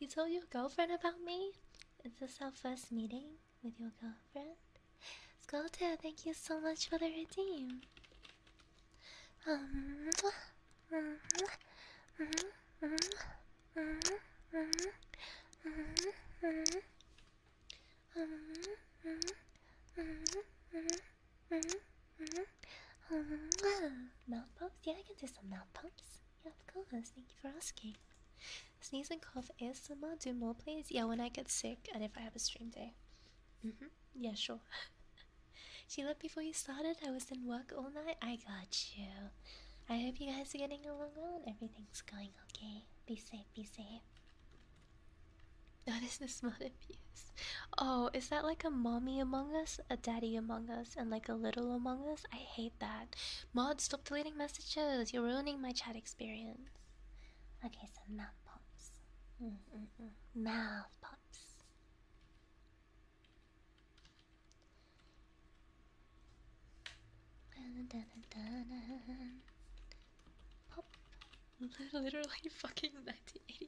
you told your girlfriend about me? Is this our first meeting with your girlfriend? Sculptor, thank you so much for the redeem. Um, um, um, Mhm, -hmm, -hmm. Um, mouth pumps? Yeah, I can do some mouth pumps. Yeah, of course. Thank you for asking. Sneeze and cough ASMR. Do more, please. Yeah, when I get sick and if I have a stream day. Mm -hmm. Yeah, sure. she left before you started. I was in work all night. I got you. I hope you guys are getting along well and everything's going okay. Be safe, be safe. That is the smut abuse. Oh, is that like a mommy among us, a daddy among us, and like a little among us? I hate that. Mod, stop deleting messages. You're ruining my chat experience. Okay, so mouth pops. Mm -mm -mm. Mouth pops. Pop. Literally fucking 1980.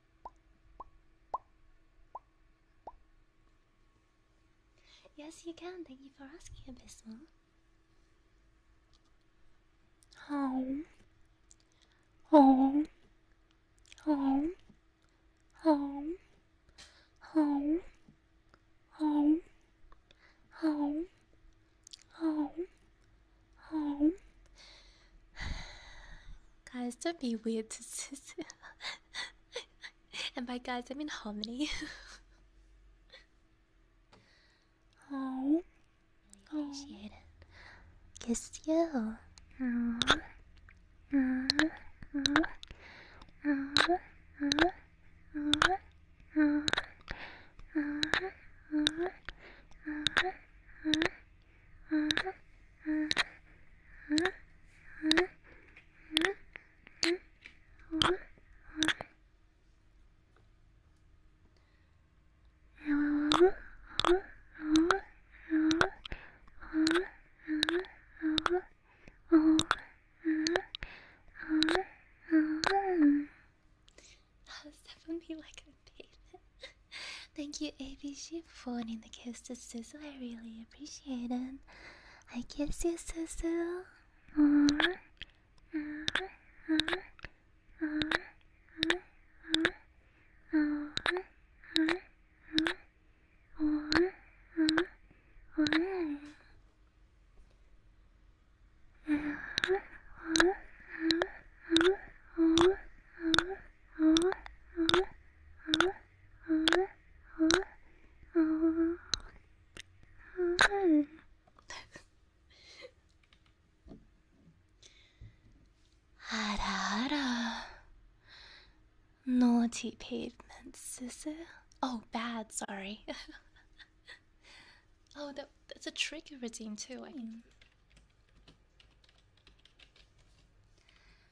Yes, you can. Thank you for asking, Abysmal. Oh. Oh. Oh. Oh. Oh. Oh. Oh. Oh. Oh. guys, don't be weird to And by guys, I mean harmony. oh, really appreciate it. Kiss you. That was definitely like a pavement. Thank you, ABC, for phoning the kiss to Sizzle. I really appreciate it. I kiss you, Sizzle. Mm. あらあら Naughty pavement, sissy. Oh, bad, sorry. oh, that, that's a trigger routine too. I mean.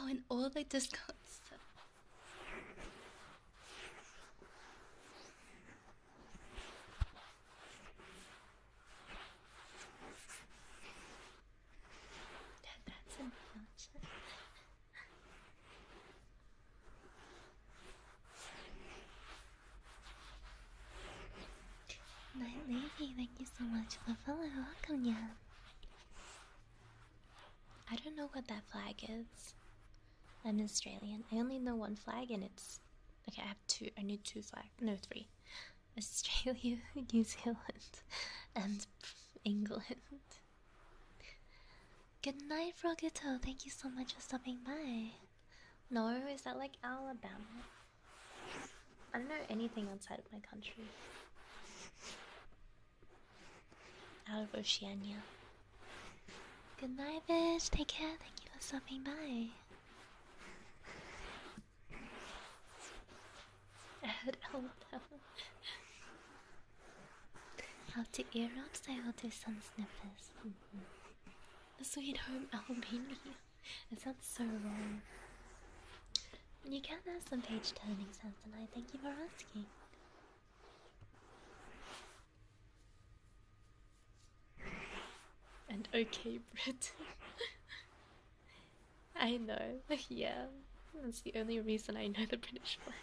Oh, and all the discounts. Night thank you so much for the Welcome, yeah. I don't know what that flag is. I'm Australian. I only know one flag, and it's okay. I have two. I need two flags. No, three. Australia, New Zealand, and England. Good night, Frogito. Thank you so much for stopping by. No, is that like Alabama? I don't know anything outside of my country. Out of Oceania. Good night, bitch. Take care. Thank you for stopping by. I Alabama. After ear ups, I will do some sniffers. The Sweet home Albania. It sounds so wrong. You can have some page turning sounds tonight. Thank you for asking. And okay, Brit. I know. yeah, that's the only reason I know the British one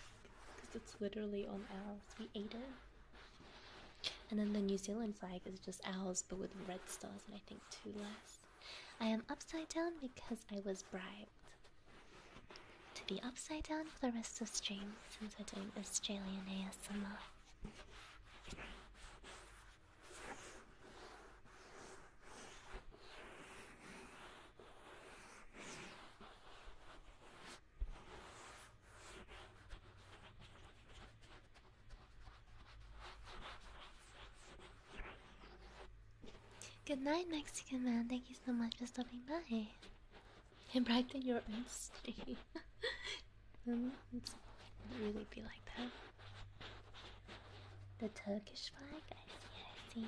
because it's literally on owls. We ate it. And then the New Zealand flag is just ours, but with red stars and I think two less. I am upside down because I was bribed to be upside down for the rest of the stream since we're doing Australian ASMR. Good night, Mexican man. Thank you so much for stopping by and practicing your own stream. Mm, um, it's really be like that. The Turkish flag. I see. I see.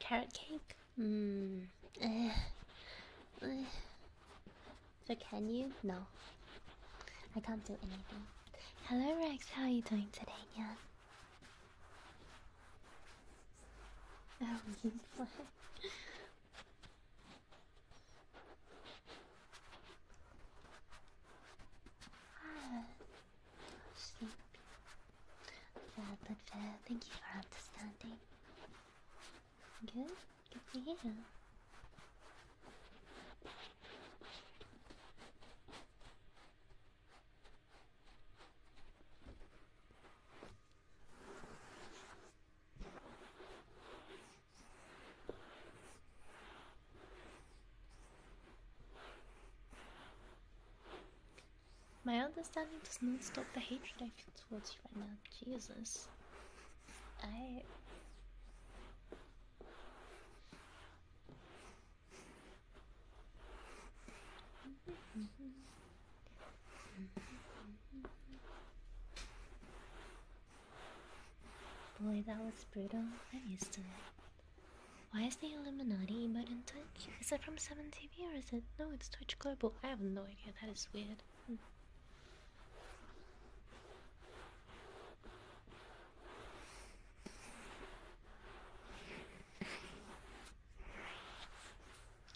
Carrot cake? Mmm. So can you? No. I can't do anything. Hello Rex, how are you doing today, yeah? Oh, you Ah, sleep. Uh, but uh, thank you for understanding. Good, good to hear. My understanding does not stop the hatred I feel towards you right now. Jesus. I. Boy, that was brutal. I'm used to it. Why is the Illuminati emote in Twitch? Is it from 7TV or is it? No, it's Twitch Global. I have no idea. That is weird. Hmm.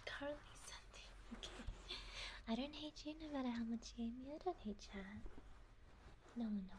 Currently Okay. I don't hate you no matter how much you hate I don't hate chat. No, no, no.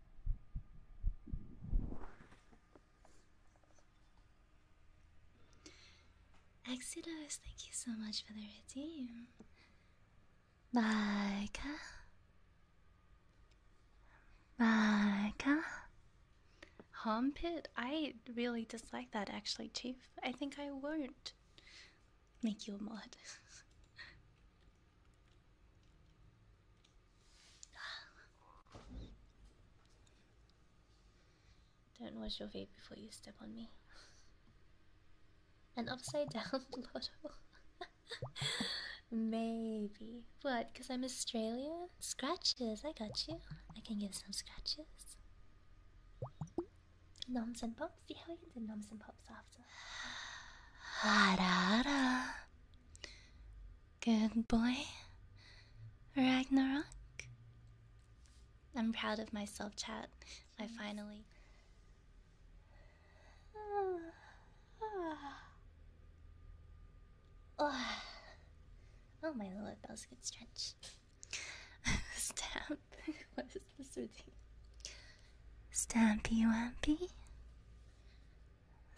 Exodus, thank you so much for the redeem. Baika. Baika. Hompit? I really dislike that actually, Chief. I think I won't make you a mod. Don't wash your feet before you step on me. An upside down lotto. Maybe. What? Because I'm Australian? Scratches, I got you. I can give some scratches. Noms and pops? See how you did noms and pops after. Ah, Good boy, Ragnarok. I'm proud of myself, chat. I finally. Oh. Oh. Oh. oh, my lord, that was a stretch. Stamp. what is this routine? Stampy Wampy.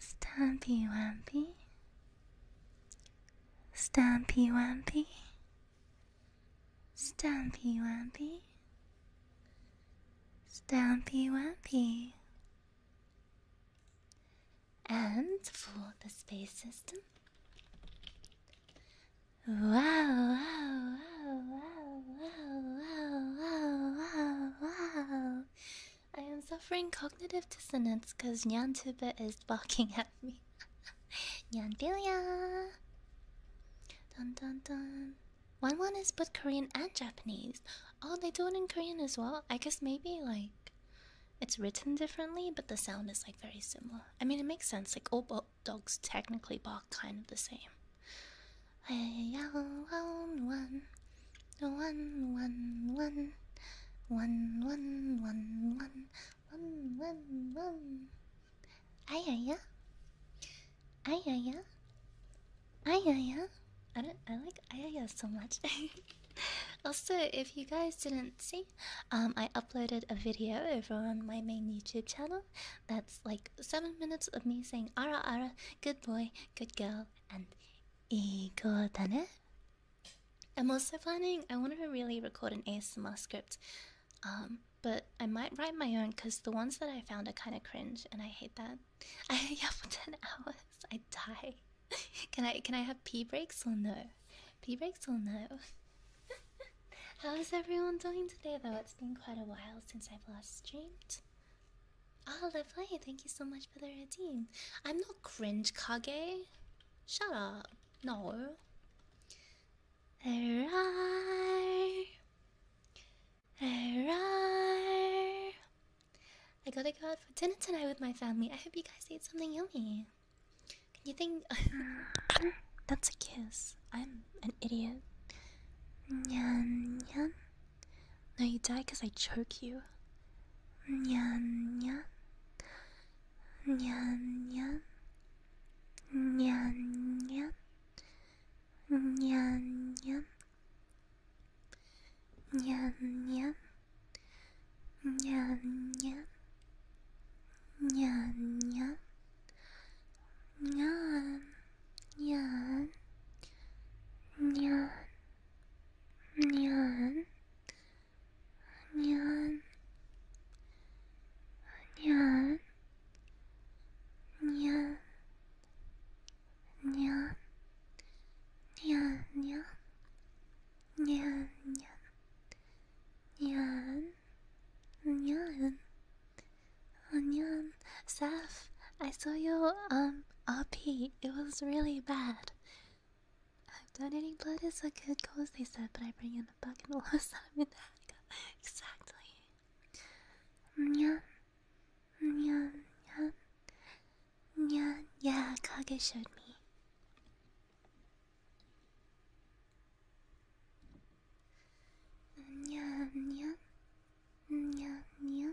Stampy Wumpy, Stampy Wumpy, Stampy Wumpy, Stampy Wumpy, And for the space system. Wow, wow, wow, wow, wow, wow, wow, wow. I am suffering cognitive dissonance because Nyan is barking at me. Nyanbilia! Dun dun dun. One one is both Korean and Japanese. Oh, they do it in Korean as well? I guess maybe like it's written differently, but the sound is like very similar. I mean, it makes sense. Like all dogs technically bark kind of the same. Hey, one, one, one, one, one, one, one, one, one, one, one, one. Ay, ay, ay, ay, ay, ay, I don't. I like ay, so much. also, if you guys didn't see, um, I uploaded a video over on my main YouTube channel. That's like seven minutes of me saying "ara ara," "good boy," "good girl," and 이거 다네? I'm also planning. I want to really record an ASMR script, um, but I might write my own because the ones that I found are kind of cringe, and I hate that. I yeah for ten hours, I die. can I can I have pee breaks or no? Pee breaks or no? How is everyone doing today? Though it's been quite a while since I've last streamed. Oh, lovely! Thank you so much much better team. I'm not cringe Kage. Shut up. No. There are. I gotta go out for dinner tonight with my family. I hope you guys ate something yummy. Can you think? That's a kiss. I'm an idiot. Nyan, nyan. No, you die because I choke you. Nyan nyan. Nyan nyan. Nyan nyan. Nyan nyan. Nyan nyan. Nyan nyan. Nyan. Nyan. Nyan. 안녕, 안녕, 안녕, 안녕, 안녕, 안녕, 안녕, 안녕, 안녕, 안녕, 안녕, 안녕, 안녕, I saw you um RP. It was really bad. Donating blood is a good cause, they said, but I bring in a bucket of last time in Africa. Exactly. Mm, mm, yeah. Yeah. Yeah. Mm, yeah. Yeah. Kage showed me. Yeah. Yeah. Yeah. Yeah.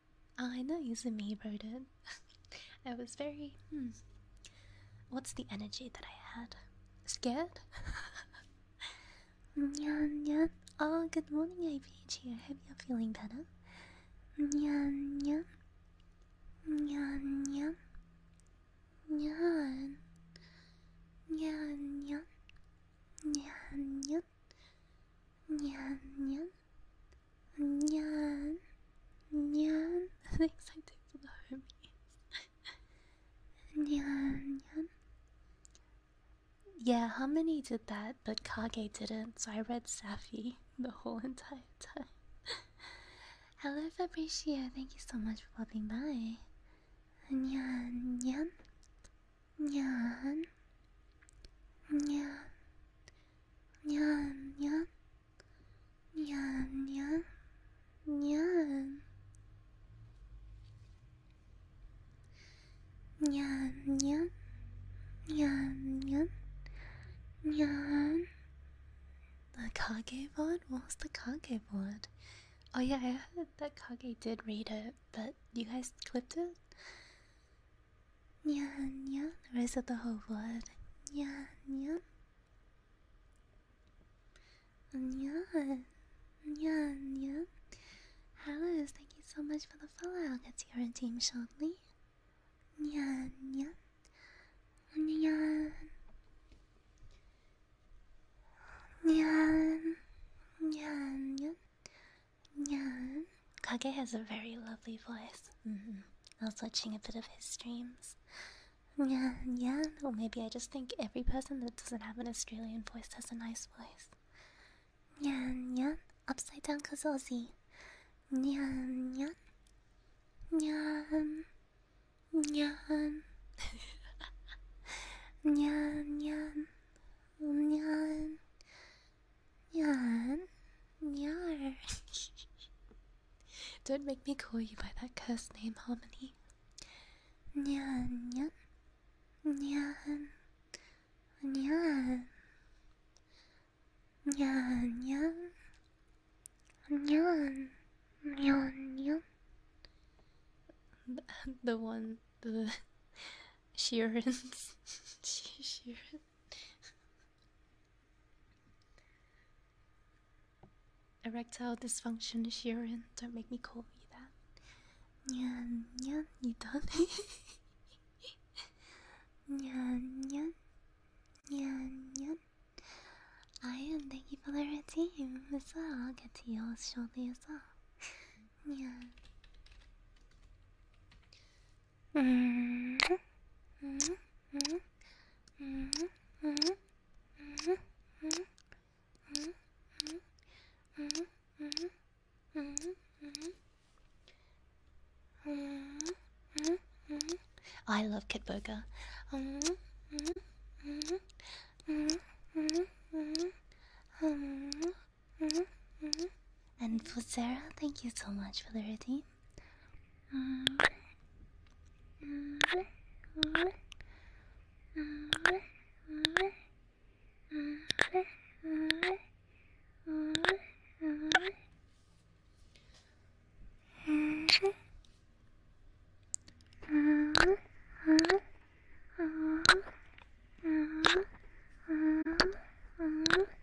I know you me wrote it. I was very hmm. What's the energy that I had? Scared? Nyan nyan. Oh, good morning, IPG. I hope you're feeling better. Nyan nyan. Nyan nyan. Nyan. Nyan nyan. Nyan nyan. Nyan nyan. Nyan, nyan. Thanks, I do for the homies. nyan, nyan. Yeah, Harmony did that, but Kage didn't, so I read Safi the whole entire time. Hello, Fabrizio, Thank you so much for popping by. Nyan, nyan. Nyan. Nyan. Nyan. Nyan. Nyan. Nyan. Nyan. Nyan. Nyan. Nyan. Nyan. Nyan. The Kage board? What's the Kage board? Oh yeah, I heard that Kage did read it, but you guys clipped it? Nyan nyan, the rest of the whole word. Nyan nyan. Nyan. Nyan nyan. Hello, thank you so much for the follow. I'll get to your team shortly. Nyan nyan. Nyan. Nyan. Nyan nyan. Yeah, Kage has a very lovely voice. Mm -hmm. I was watching a bit of his streams. Yeah, yeah. Or maybe I just think every person that doesn't have an Australian voice has a nice voice. Yeah, yeah. Upside down Kazozi. Nyan, nyan, nyan, nyan, nyan, nyan, nyan, Yan, yar. Don't make me call you by that cursed name, Harmony. Nyan, nyan, nyan, nyan, nyan, nyan, nyan, nyan, nyan. The one, the Sheeran's, Sheeran. Erectile dysfunction, Sharon. Don't make me call you that. Nyan, nyan, you done? nyan, nyan, nyan, nyan. I am thank you for the routine as well. I'll get to yours shortly as well. Nyan. I love Kid Burger. And for Fusera, thank you so much for the routine.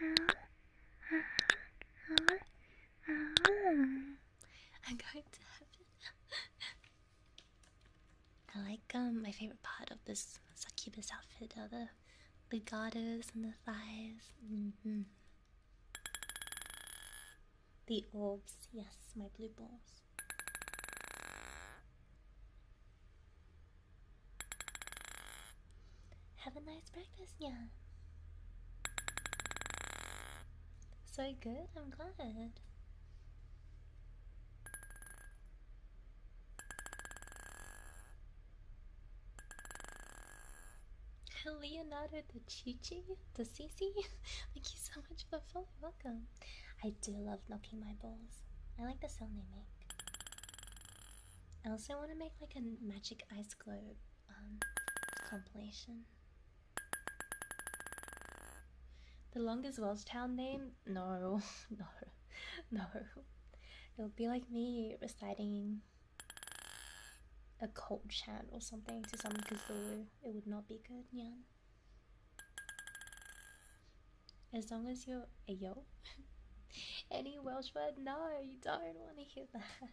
I'm going to heaven. I like um my favorite part of this succubus outfit are the legatos and the thighs. Mm-hmm. The orbs, yes, my blue balls. Have a nice breakfast, yeah. So good, I'm glad. Leonardo the Chichi, the Cici. Thank you so much for following. Welcome. I do love knocking my bowls. I like the sound they make. I also want to make like a magic ice globe um, compilation. The longest Welsh town name? No, no, no. It'll be like me reciting a cult chant or something to someone because It would not be good, As long as you're a yo, any Welsh word? No, you don't want to hear that.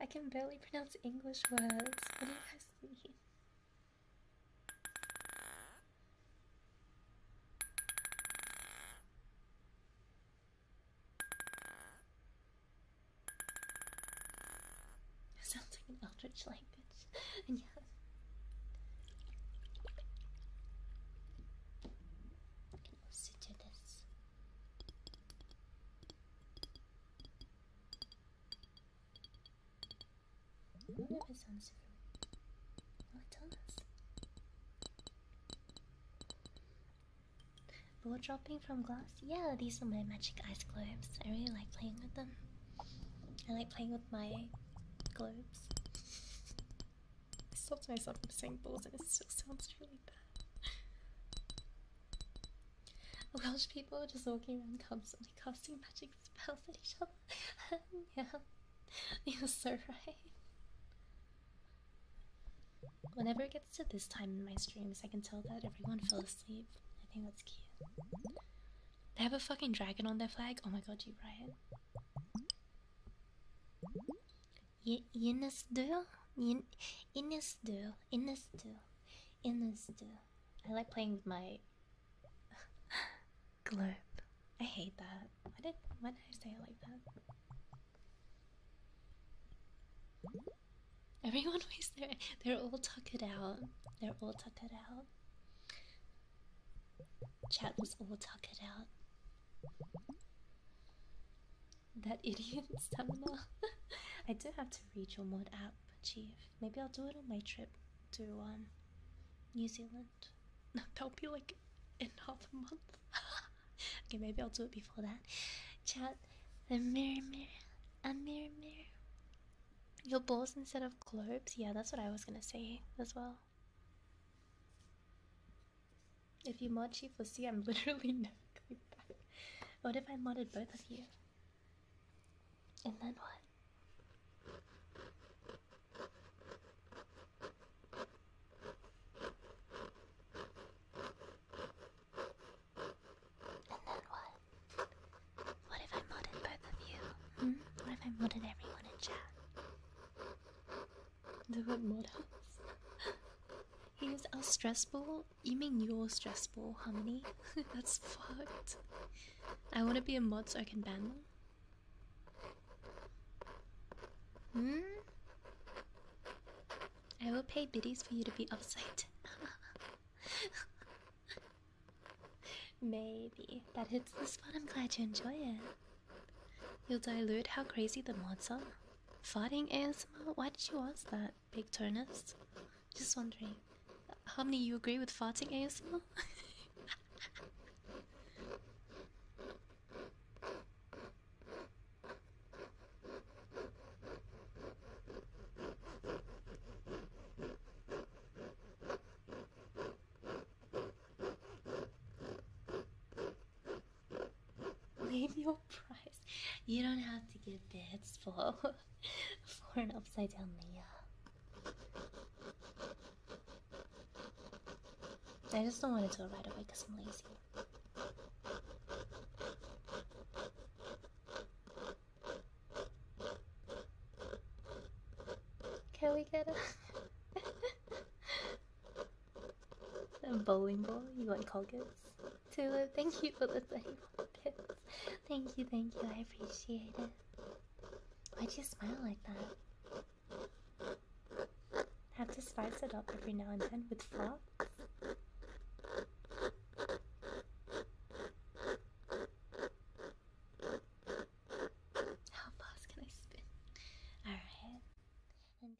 I can barely pronounce English words. What do you guys think? sounds like an eldritch language. yes closer to this. I wonder if sounds different. Oh, it does. Blow dropping from glass? Yeah, these are my magic ice globes. I really like playing with them. I like playing with my globes. I stopped myself from saying balls and it still sounds really bad. Welsh people are just walking around constantly casting magic spells at each other. yeah, you're so right. Whenever it gets to this time in my streams, I can tell that everyone fell asleep. I think that's cute. They have a fucking dragon on their flag? Oh my god, you are right. Yinnisdu? Innisdu. Innisdu. Innisdu. I like playing with my globe. I hate that. Why did why did I say it like that? Everyone was there. They're all tuckered out. They're all tuckered out. Chat was all tuckered out that idiot stamina. I do have to read your mod app, Chief. Maybe I'll do it on my trip to um, New Zealand. No, That'll be like another month. okay, maybe I'll do it before that. Chat the mirror, mirror, a mirror, mirror. Your balls instead of globes. Yeah, that's what I was gonna say as well. If you mod Chief Lucy, I'm literally never What if I modded both of you? And then what? And then what? What if I modded both of you? Hmm? What if I modded everyone in chat? the word mods. Here's our stress ball. You mean your stress ball, Harmony? That's fucked. I want to be a mod so I can ban them. Hmm? I will pay biddies for you to be upside Maybe. That hits the spot. I'm glad you enjoy it. You'll dilute how crazy the mods are. Farting ASMR? Why did you ask that, Big Turnus? Just wondering. How many you agree with farting ASMR? Leave your price. You don't have to give bids for for an upside down Leah. I just don't want to do it right away because I'm lazy. Can we get a A bowling ball? You like Colgate's? Tula, thank you for the thirty bits. Thank you, thank you, I appreciate it. why do you smile like that? Have to spice it up every now and then with fluff. How fast can I spin? Alright.